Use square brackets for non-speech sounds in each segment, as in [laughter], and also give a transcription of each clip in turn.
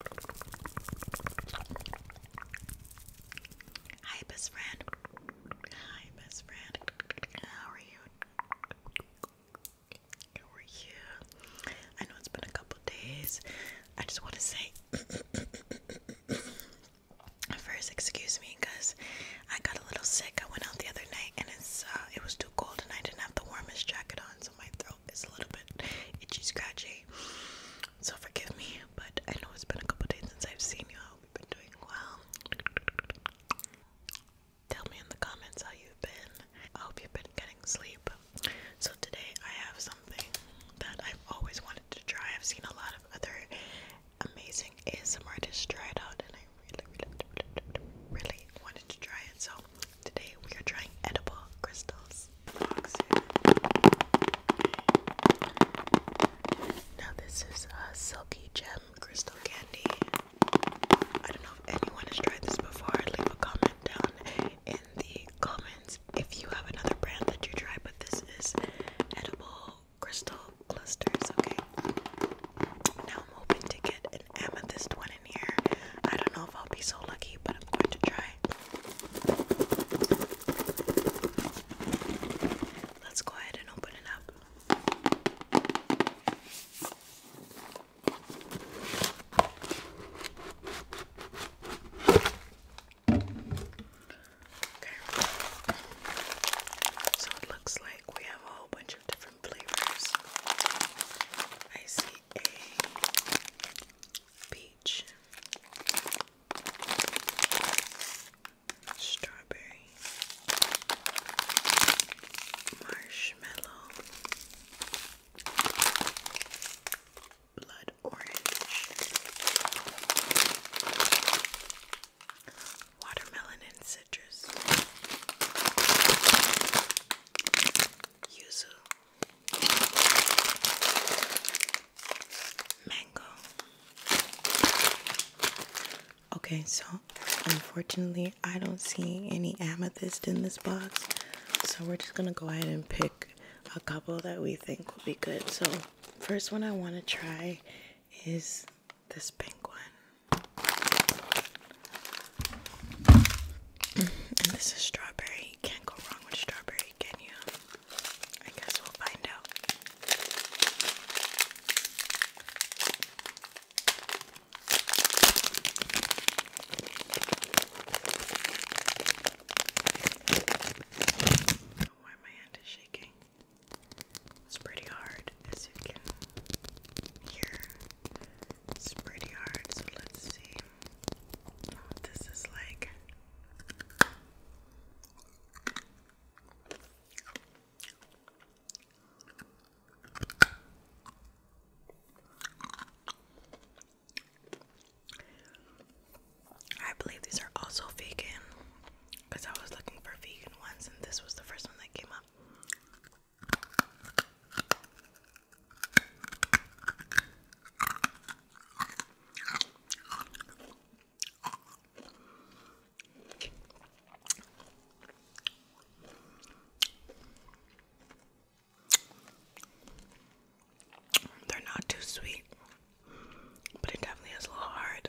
Hi, best friend. Hi, best friend. How are you? How are you? I know it's been a couple days. I just want to say, [coughs] first, excuse me, cause I got a little sick. I went out the other night, and it's uh, it was too cold, and I didn't have the warmest jacket on, so my throat it's a little bit itchy, scratchy. So forgive me, but I know it's been a couple days since I've seen you. I hope you've been doing well. Tell me in the comments how you've been. I hope you've been getting sleep. So today I have something that I've always wanted to try. I've seen a lot of other amazing ASMR artists try it out and I really, really, really wanted to try it. So today we are trying edible crystals Now this is a silky gem crystal candy. I don't know if anyone has tried this before. Leave a comment down in the comments if you have another brand that you try, but this is edible crystal clusters, okay? Now I'm hoping to get amethyst one in here. I don't know if I'll be so lucky, but I'm going to try. Let's go ahead and open it up. Okay. So it looks like we have a whole bunch different flavors. I see a peach, strawberry, marshmallow, blood orange, watermelon and citrus yuzu, mango. Okay, so unfortunately, I don't see any amethyst in this box, so we're just gonna go ahead and pick a couple that we think will be good. So, first one I want to try is this pink one this is strawberry. can't go wrong with strawberry, can you? I guess we'll find out. Why my hand is shaking. It's pretty hard as you can hear, it's pretty hard. So let's see what this is like. I believe these are also vegan because I was looking for vegan ones, and this was the first one that came up. They're not too sweet, but it definitely is a little hard.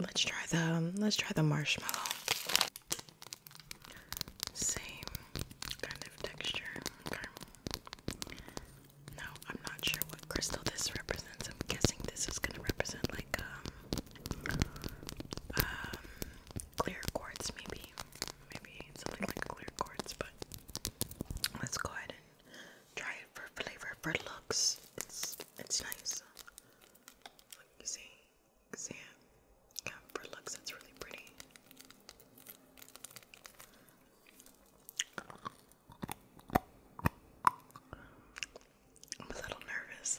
Let's try the let's try the marshmallow. Same kind of texture. Now I'm not sure what crystal this represents. I'm guessing this is gonna represent like um, um clear quartz maybe. Maybe something like clear quartz, but Let's go ahead and try it for flavor. For looks, it's it's nice. Look, you see, see it? Yeah, for looks, it's really pretty. I'm a little nervous.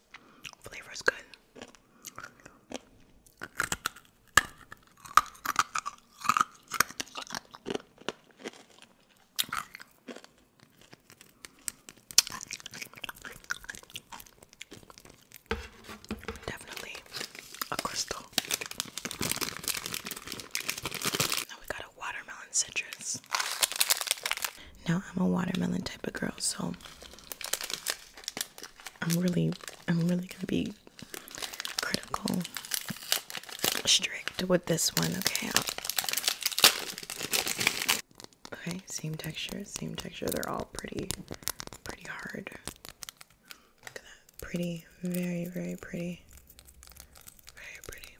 Flavor is good. Definitely a crystal. Now we got a watermelon citrus. Now I'm a watermelon type of girl, so I'm really, I'm really gonna be critical, strict with this one. Okay. Okay. Same texture. Same texture. They're all pretty, pretty hard. Pretty. Very, very pretty. Very pretty.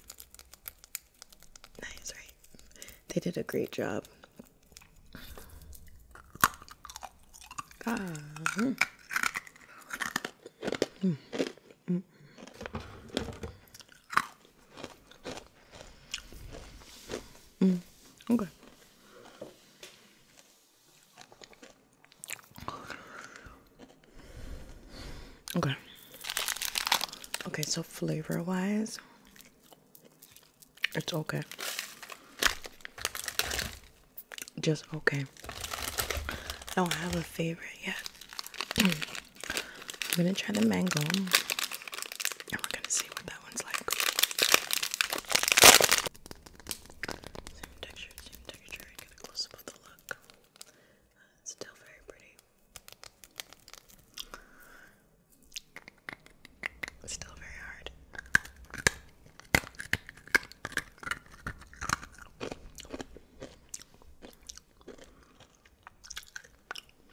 Nice, right? They did a great job. Okay. Okay. Okay, so flavor wise, it's okay. Just okay. I don't have a favorite yet. I'm gonna try the mango. And we're gonna see what that one's like. Same texture, same texture. I get a close up of the look. Uh, still very pretty still very hard.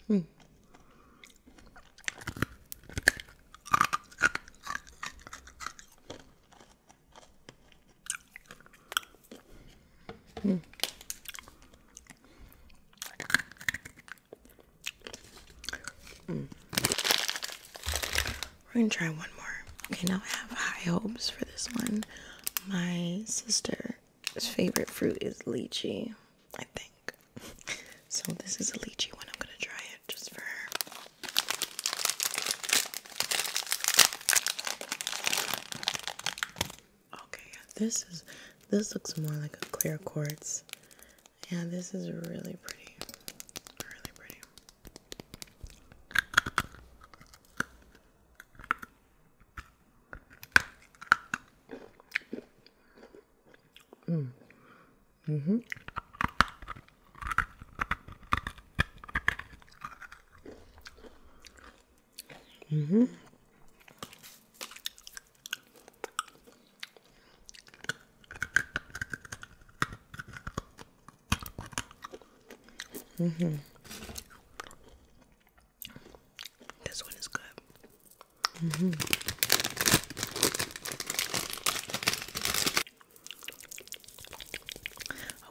Hmm. Hmm. We're gonna try one more. Okay, now I have high hopes for this one. My sister's favorite fruit is lychee, I think. So this is a lychee one. I'm gonna try it just for her. Okay, yeah, this is this looks more like a clear quartz. Yeah, this is really pretty. Really pretty. Mm. Mm-hmm. Mm-hmm. Mm-hmm. This one is good. Mm-hmm.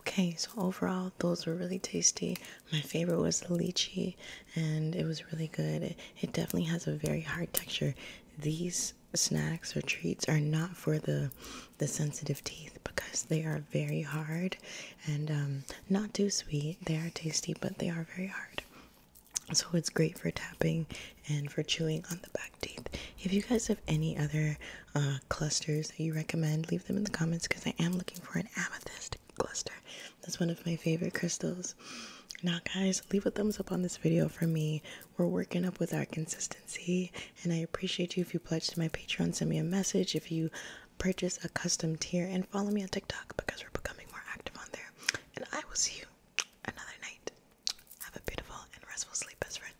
Okay, so overall, those were really tasty. My favorite was the lychee, and it was really good. It, definitely has a very hard texture. These snacks or treats are not for the the sensitive teeth because they are very hard and um, not too sweet. They are tasty, but they are very hard. So it's great for tapping and for chewing on the back teeth. If you guys have any other uh, clusters that you recommend, leave them in the comments because I am looking for an amethyst glister that's one of my favorite crystals now guys leave a thumbs up on this video for me we're working up with our consistency and i appreciate you if you pledge to my patreon send me a message if you purchase a custom tier and follow me on tiktok because we're becoming more active on there and i will see you another night have a beautiful and restful sleep best friend